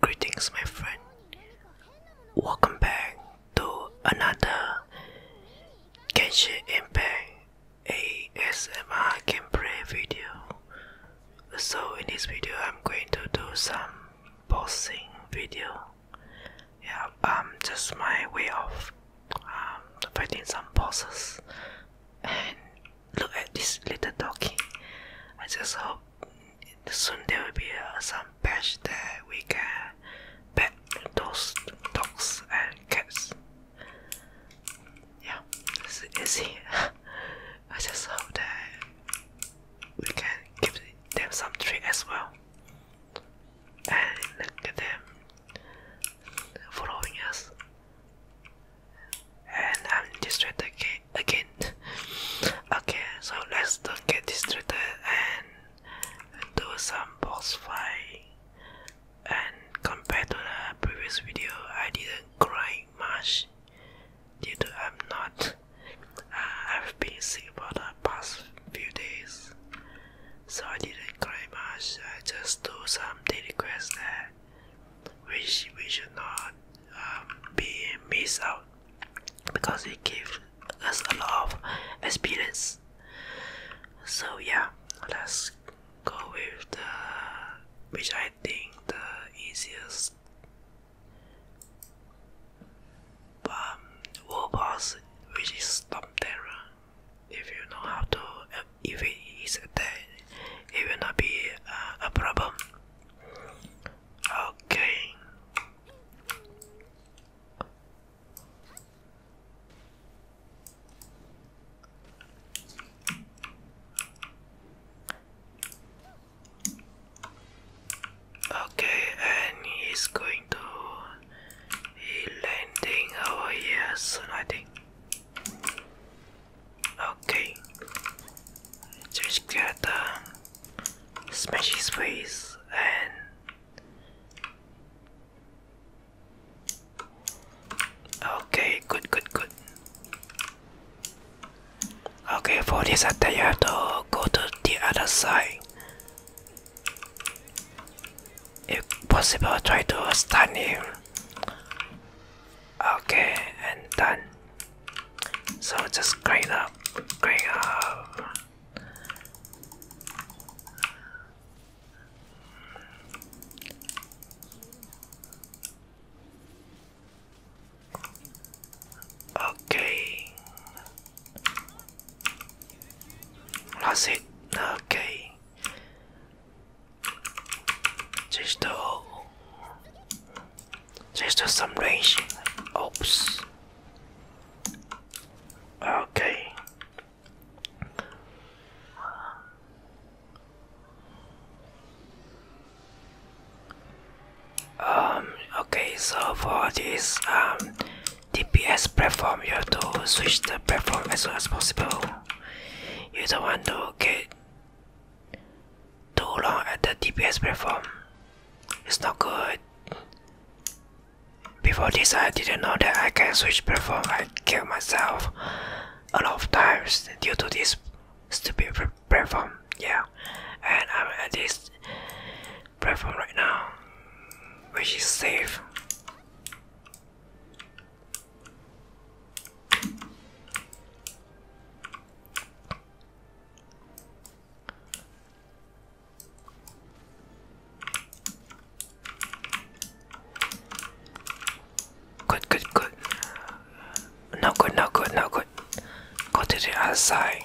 Greetings, my friend. Welcome back to another Genshin Impact ASMR gameplay video. So, in this video, I'm going to do some bossing video. Yeah, um, just my way of um, fighting some bosses, and look at this little doggy. I just hope soon there will be uh, some patch that we can pet those dogs and cats. Yeah, it's easy. I just hope that we can give them some treat as well. And look at them following us and I'm distracted again. okay, so let's don't get distracted and do some boss fight. And compared to the previous video, I didn't cry much due to I'm not. Uh, I've been sick for the past few days, so I didn't cry much. I just do some daily quests there which we should not um, be missed out because it gives us a lot of experience. So yeah, let's go with the which I think the easiest um, wall boss, which is Stomp Terror. If you know how to if it is then it will not be uh, a problem okay Okay, and he's going to be landing over here soon, I think. Okay, just get uh, smash his face and okay, good, good, good. Okay, for this attack, you have to go to the other side. If possible, try to stun him. Okay, and done. So just grind up, grind up. Okay. Lost it. Okay. Just do, just do some range. Oops. Okay. Um. Okay. So for this um DPS platform, you have to switch the platform as soon as possible. You don't want to get too long at the DPS platform. It's not good. Before this, I didn't know that I can switch platform. I killed myself a lot of times due to this stupid platform. Yeah, and I'm at this platform right now, which is safe. Good, good, good. No good, no good, no good. Go to the other side.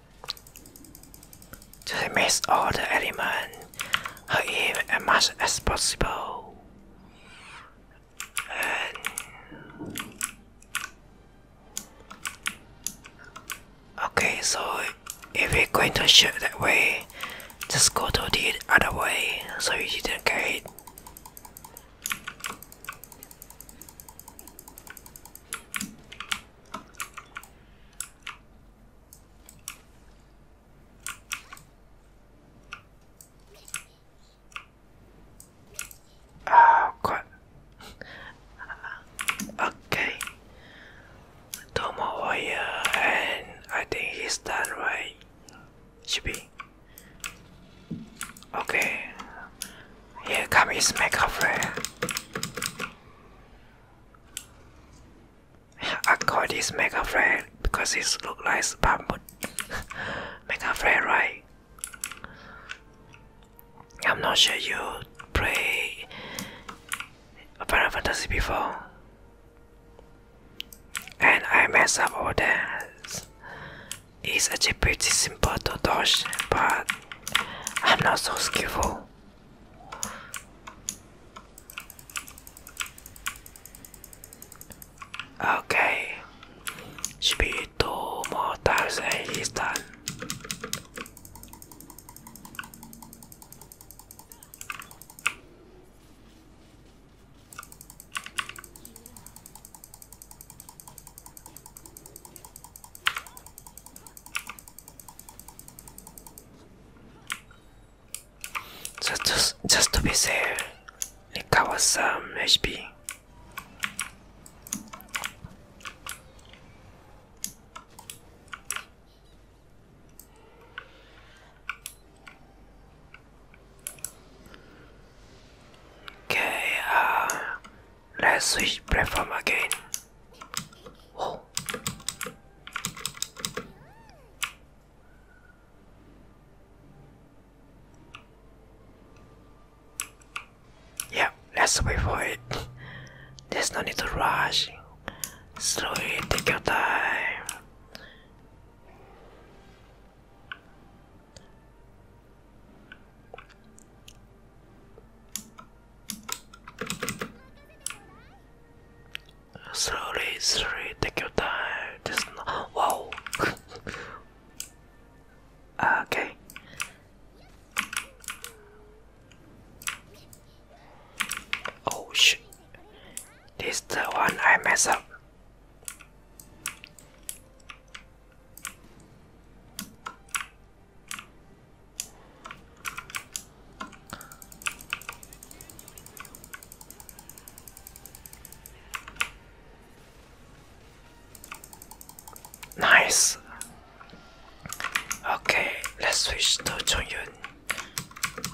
To miss all the elements or even as much as possible. okay, so if we're going to shoot that way, just go to the other way so you didn't get it. Oh god. okay. Tomo Hoya and I think he's done right. Should be. Okay. Here comes my makeup I call this Mega Flare because it looks like bamboo. Mega Flare, right? I'm not sure you play Final Fantasy before. And I mess up all that. It's actually pretty simple to dodge, but I'm not so skillful. Okay, Speed be two more times and he's done just just to be safe, Nika was some HP. Okay, uh, let's switch platform again. Oh. Yeah, let's wait for it. There's no need to rush. Slowly take your time. Slowly, slowly, take your time. Just no Whoa. Uh, okay. Oh shit. This is the one I mess up. Nice. Okay, let's switch to Chongyun.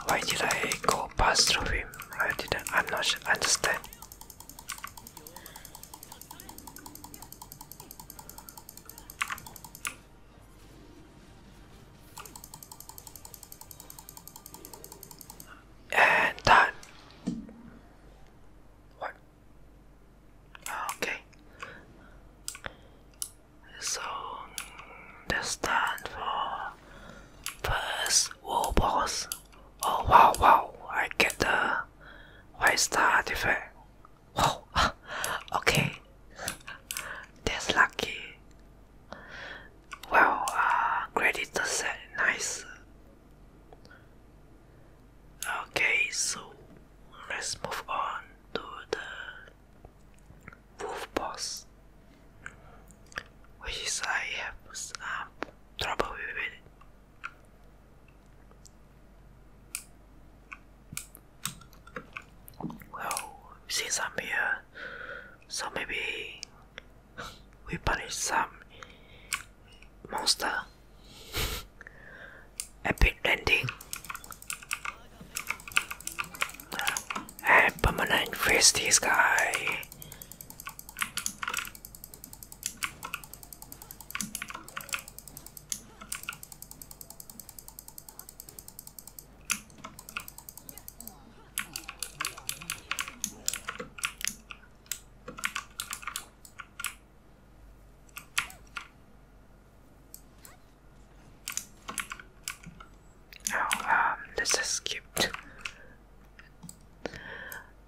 Why did I go past through him? I didn't. I'm not sure. Understand. And done. What? Ah, okay. So that's stand for first war boss. Oh wow wow! I get the white star effect. Oh, okay. That's lucky. Well, uh, credit the set, nice. Okay, so let's move on to the wolf boss, which is I have some um, trouble with it. Well, since I'm here, so maybe we punish some monster. Epic landing uh, and permanent face this guy. Oh, um, this is skipped.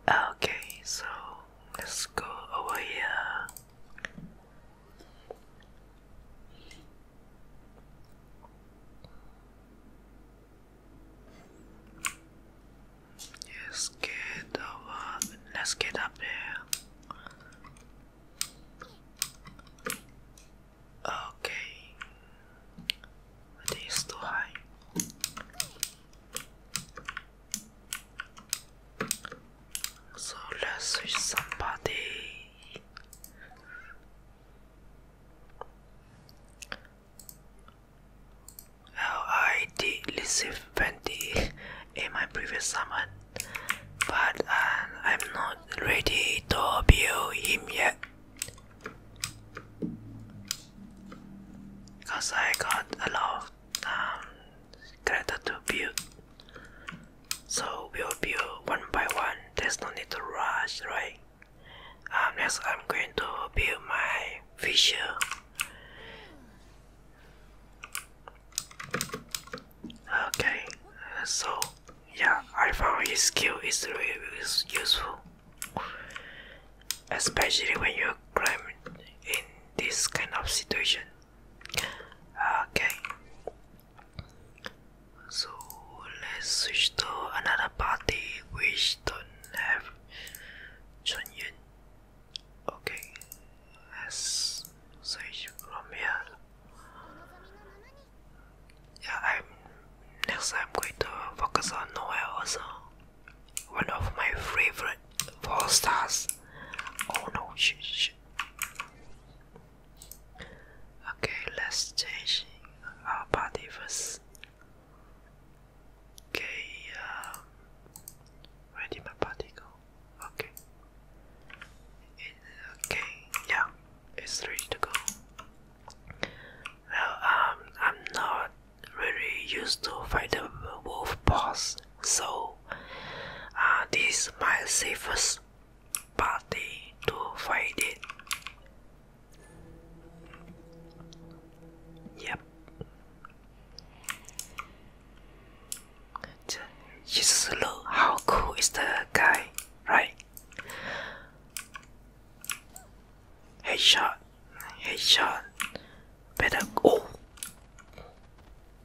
Okay, so let's go over here. Let's get up. Let's get up there. Okay, it is too high. So let's reach somebody. I did receive 20 in my previous summon, but um, I'm not ready to build him yet. Because I got a lot um, Greta to build. So we'll build one by one. There's no need to rush, right? Um, next, I'm going to build my vision. Okay, so yeah, I found his skill is really useful, especially when you are climbing in this kind of situation. Okay. So let's switch to another party which don't have Chinese. Okay, let's switch from here. Yeah, I'm next. I'm going to focus on Noel also. One of my favorite four stars. Oh no, shh. Okay, let's change our party first. Okay, um, my body go? Okay, okay, yeah, it's ready to go. Well, um, I'm not really used to fight the wolf boss so uh, this is my safest party to find it. Yep. Just look how cool is the guy, right? Headshot, headshot, better. Oh,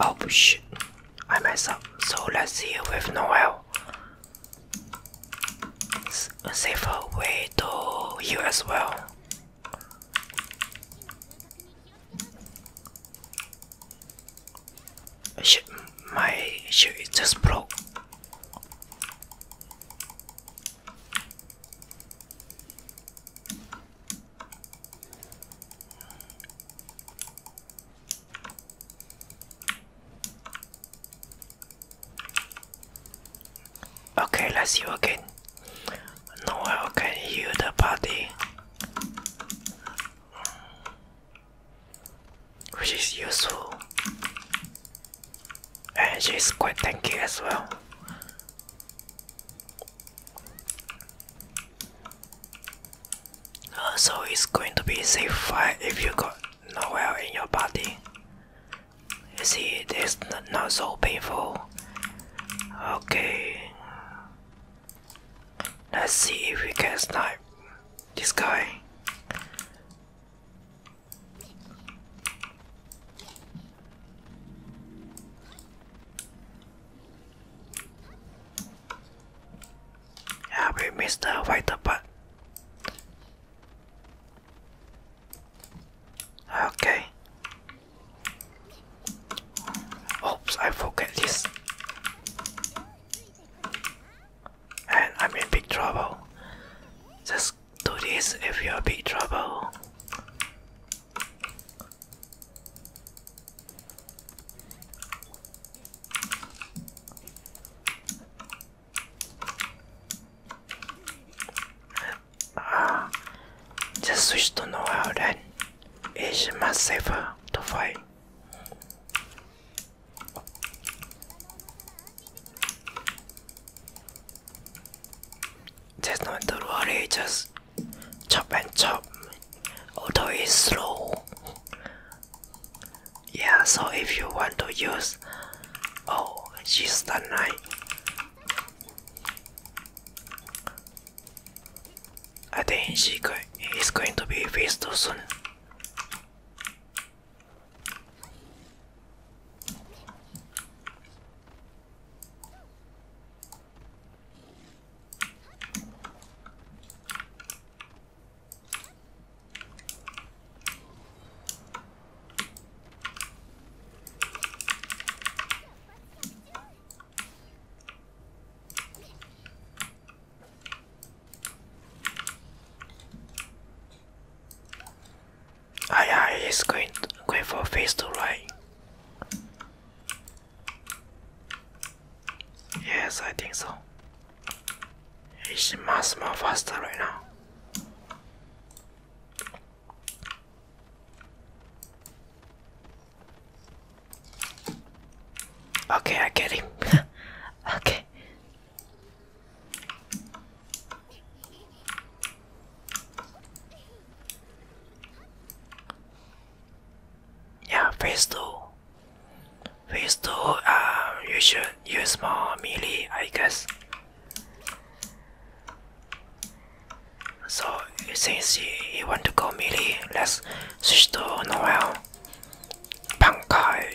Oh shit, I messed up. So let's see with Noel a safer way to you as well. my shoe just broke. Okay, let's see again. No I can heal the body. Which is useful. And she's quite tanky as well. Uh, so it's going to be safe fire if you go nowhere in your body. You see, this is not so painful. Okay, let's see if we can snipe this guy. Yeah, we missed the vital part. Okay. Oops, I forget this. And I'm in big trouble. Just do this if you're in big trouble. Ah, the switch to know-how then is much safer to fight. Just no need worry, just chop and chop, although it's slow yeah so if you want to use oh she's the knight I think she is going to be faced soon I ah, am he's going going for phase two, right? Yes, I think so. It's much more faster right now. Okay, I get him. okay. Yeah, phase two. We still um, you should use more melee, I guess. So, since he, he want to go melee, let's switch to Noel. Bankai.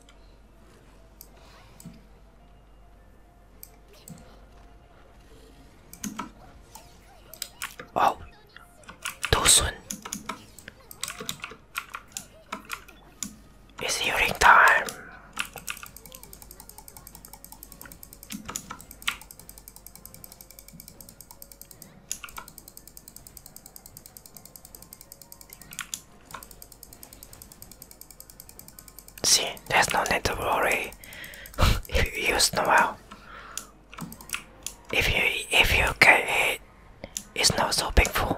Oh, Dosun It's healing time. See, there's no need to worry if you use Noel. If you if you get it, it's not so painful.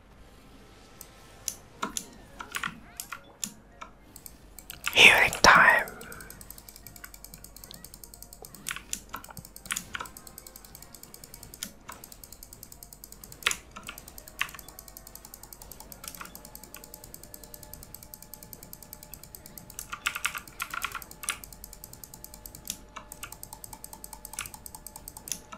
Hearing time.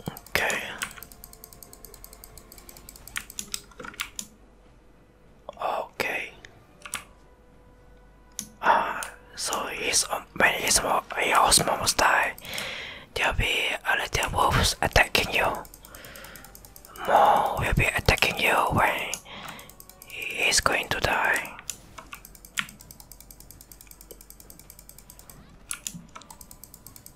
Okay. Okay. Uh, so he's, um, when his, your house almost die, there'll be a little wolves attacking you. More will be attacking you when he's going to die.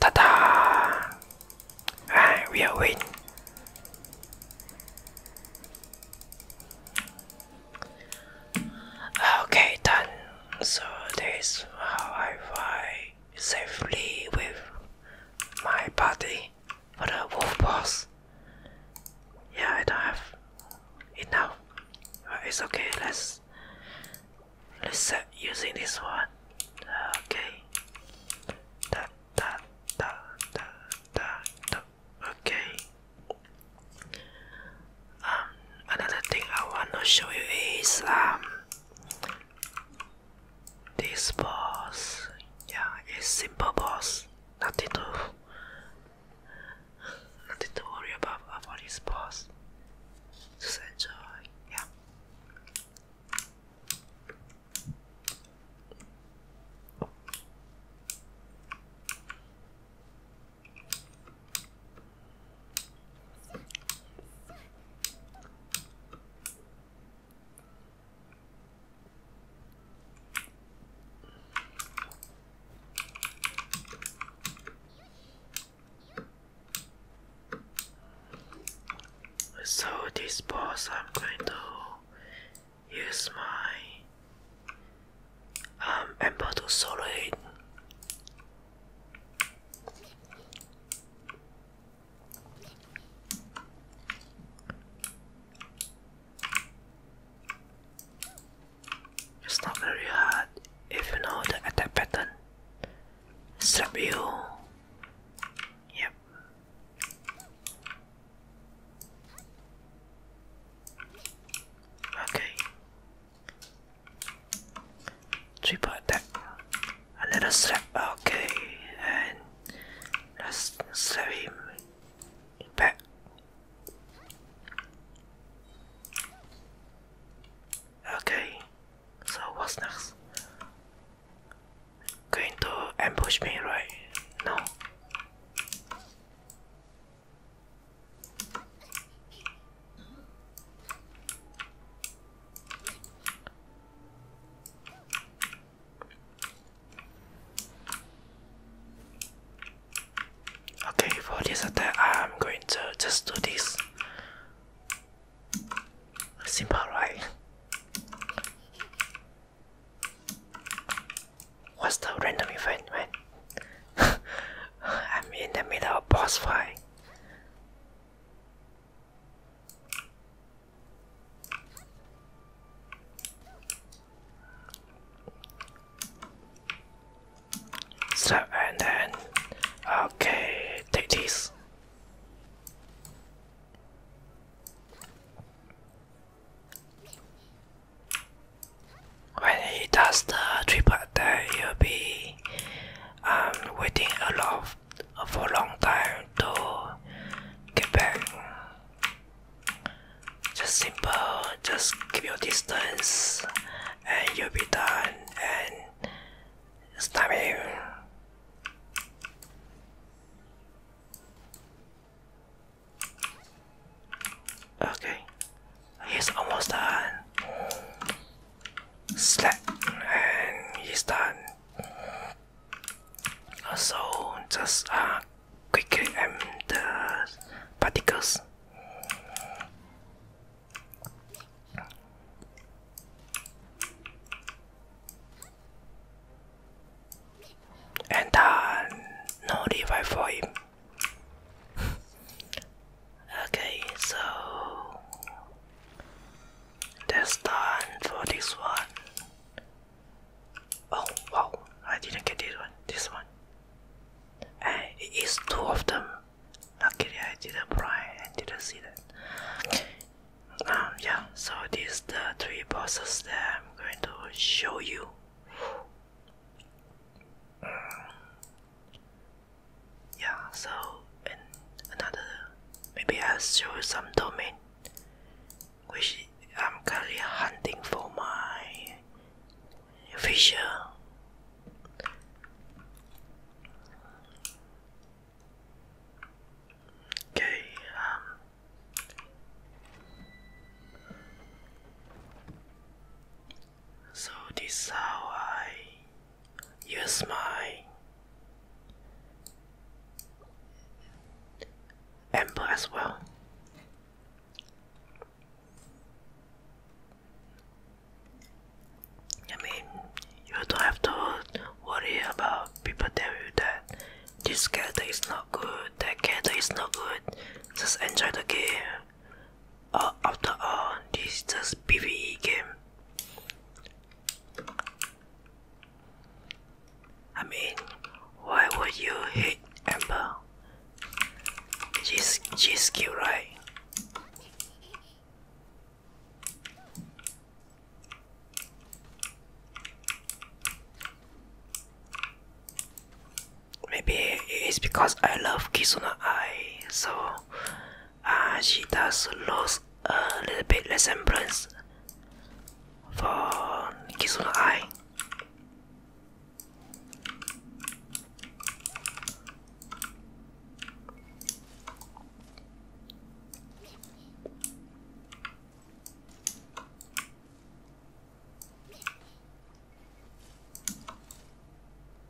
Ta-da! Ah, we are waiting. Okay, done. So this is how I find safely with my body for the wolf boss. Yeah, I don't have enough. But it's okay. Let's let's start using this one. Okay. Da, da, da, da, da, da. Okay. Um, another thing I want to show you is um this boss, yeah, it's simple boss. Nothing to, nothing to worry about about this boss. Just enjoy, yeah. So this boss I'm going to use my um ember to solo it it's not very hard if you know the attack pattern. Slap you. Yep. Okay. Triple attack. A little us slap. Okay, and let's slap him back. Okay, so what's next? Going to ambush me, right? No. Okay, for this attack, I'm going to just do this. Simple, right? What's the random event, man? I'm in the middle of boss fight. So and then, okay, take this. When he does the triple that you'll be um, waiting a lot for a long time to get back. Just simple, just keep your distance and you'll be done and stop him. Okay, he's almost done slap and he's done so just uh, quickly aim um, the particles and done uh, no revive for him okay so that's done for this one. Oh wow, I didn't get this one. This one. And eh, it is two of them. Luckily I didn't buy and didn't see that. Um yeah, so these the three puzzles that I'm going to show you yeah so in another maybe I'll show some domain which I'm currently hunting for my Fisher Okay, um so this how I use my amber as well. I mean, you don't have to worry about people telling you that this character is not good, that character is not good. Just enjoy the game. after all, this is just PvE game. I mean, why would you hate Amber? She's just cute, right? Maybe it's because I love Kisuna Ai, so and ah, she does lose a little bit resemblance for Kizuna Eye.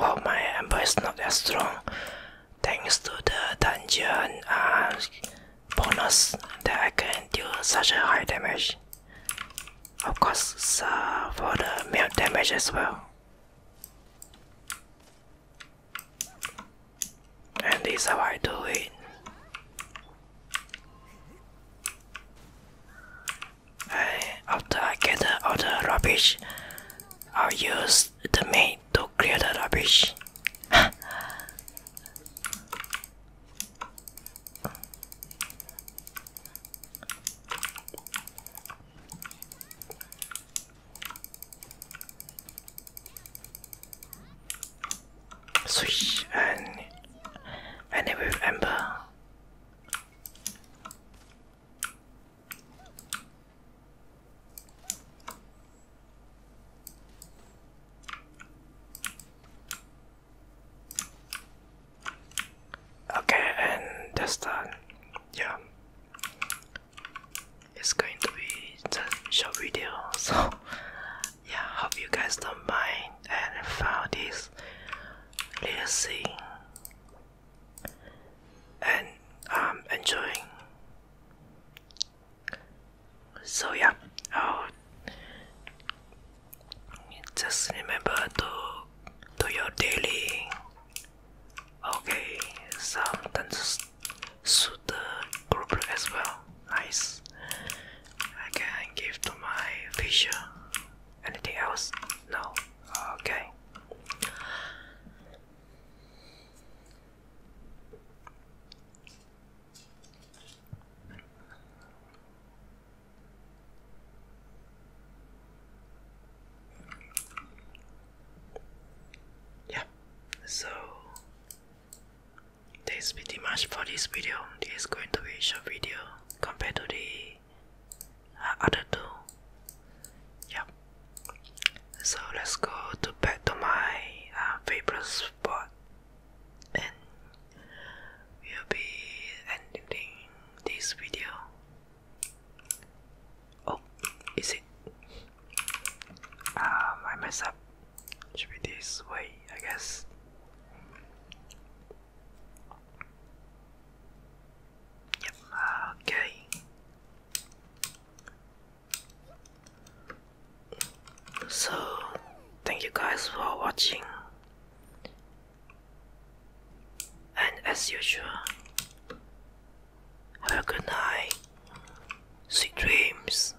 Well, my amber is not as strong thanks to the dungeon uh, bonus that I can do such a high damage. Of course, uh, for the melt damage as well. And this how I do it. after I get all the rubbish, I'll use the maid to clear the rubbish. Switch and and it with Ember. Okay, and that's done. Yeah. It's going to be the short video so yeah hope you guys don't mind and found this relaxing and I'm um, enjoying so yeah just remember to do your daily Okay, some dances suit the group as well. Nice. I can give to my fisher. Anything else? No. Okay yeah so that's pretty much for this video this is going to be a short video compared to the uh, other two yeah so let's go to back to my uh, favorite spot and we'll be ending this video Oh, is it? Um, I messed up. Should be this way, I guess. Yep, okay. So, thank you guys for watching. And as usual, have a good night, sweet dreams,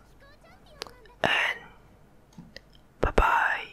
and bye bye.